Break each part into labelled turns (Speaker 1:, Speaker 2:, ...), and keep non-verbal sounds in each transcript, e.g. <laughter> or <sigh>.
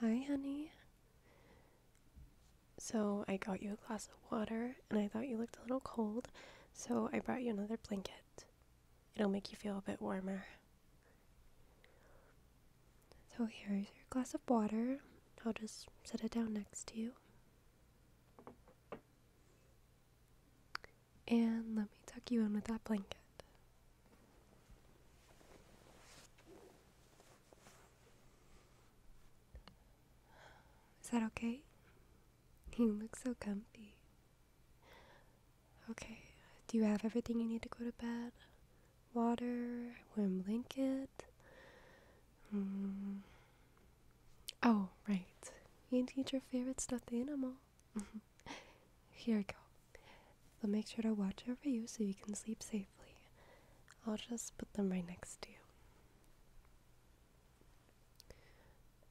Speaker 1: Hi, honey. So, I got you a glass of water and I thought you looked a little cold, so I brought you another blanket. It'll make you feel a bit warmer. So, here's your glass of water. I'll just set it down next to you. And let me tuck you in with that blanket. Is that okay? You look so comfy. Okay, do you have everything you need to go to bed? Water, warm blanket? Mm, Oh, right. You need your favorite stuffed animal. Mm-hmm. Here we go. They'll make sure to watch over you so you can sleep safely. I'll just put them right next to you.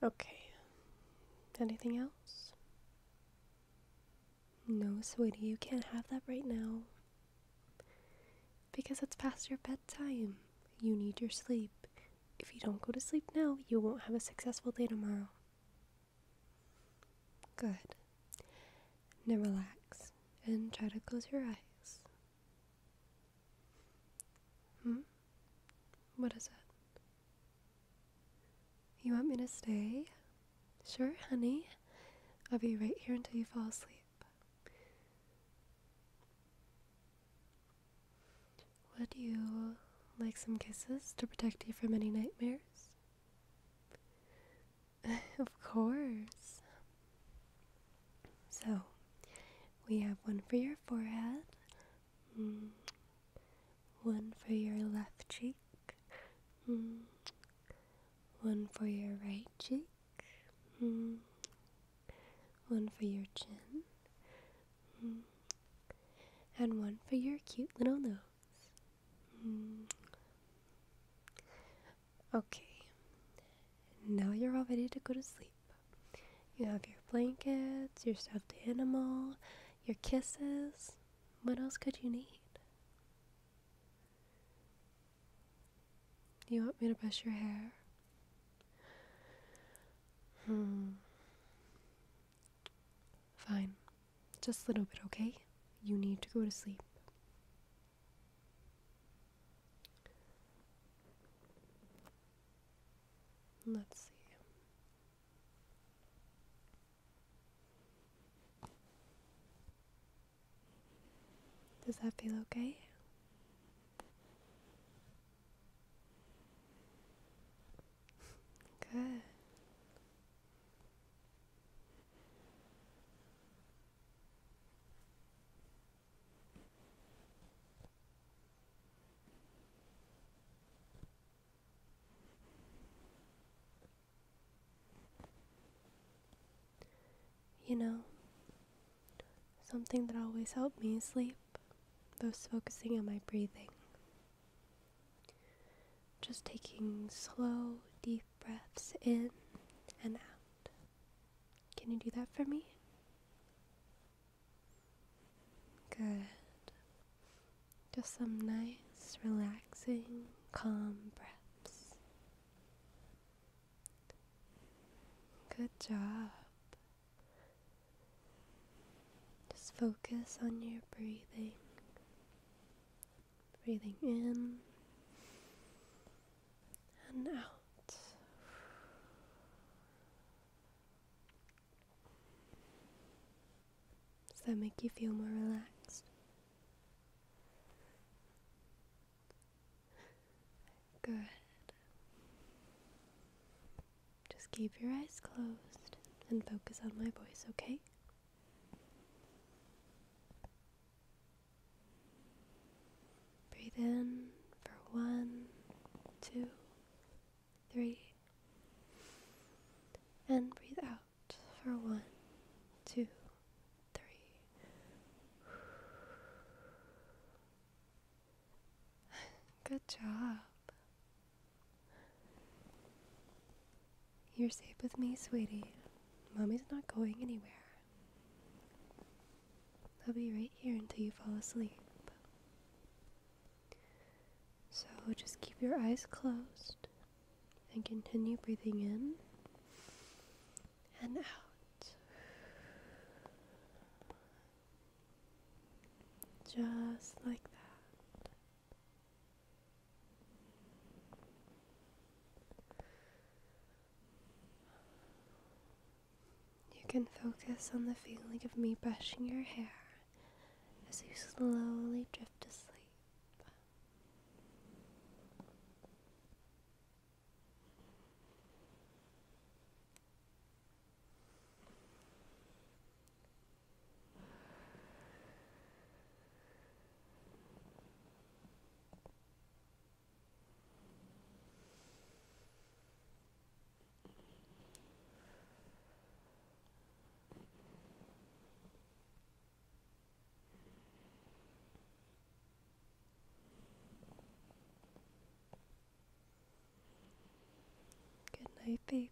Speaker 1: Okay. Anything else? No, sweetie, you can't have that right now because it's past your bedtime. You need your sleep. If you don't go to sleep now, you won't have a successful day tomorrow. Good. Now relax and try to close your eyes. Hmm? What is it? You want me to stay? Sure, honey. I'll be right here until you fall asleep. Would you like some kisses to protect you from any nightmares? <laughs> of course. So, we have one for your forehead, mm, one for your left cheek, mm, one for your right cheek, Mm. One for your chin. Mm. And one for your cute little nose. Mm. Okay. Now you're all ready to go to sleep. You have your blankets, your stuffed animal, your kisses. What else could you need? You want me to brush your hair? Hmm. Fine. Just a little bit, okay? You need to go to sleep. Let's see. Does that feel okay? Good. You know, something that always helped me sleep was focusing on my breathing. Just taking slow, deep breaths in and out. Can you do that for me? Good. Just some nice, relaxing, calm breaths. Good job. Just focus on your breathing. Breathing in and out. Does that make you feel more relaxed? Good. Just keep your eyes closed and focus on my voice, okay? Breathe in for one, two, three. And breathe out for one, two, three. Good job. You're safe with me, sweetie. Mommy's not going anywhere. I'll be right here until you fall asleep. So just keep your eyes closed and continue breathing in and out. Just like that. You can focus on the feeling of me brushing your hair as you slowly drift to sleep. Good night, baby.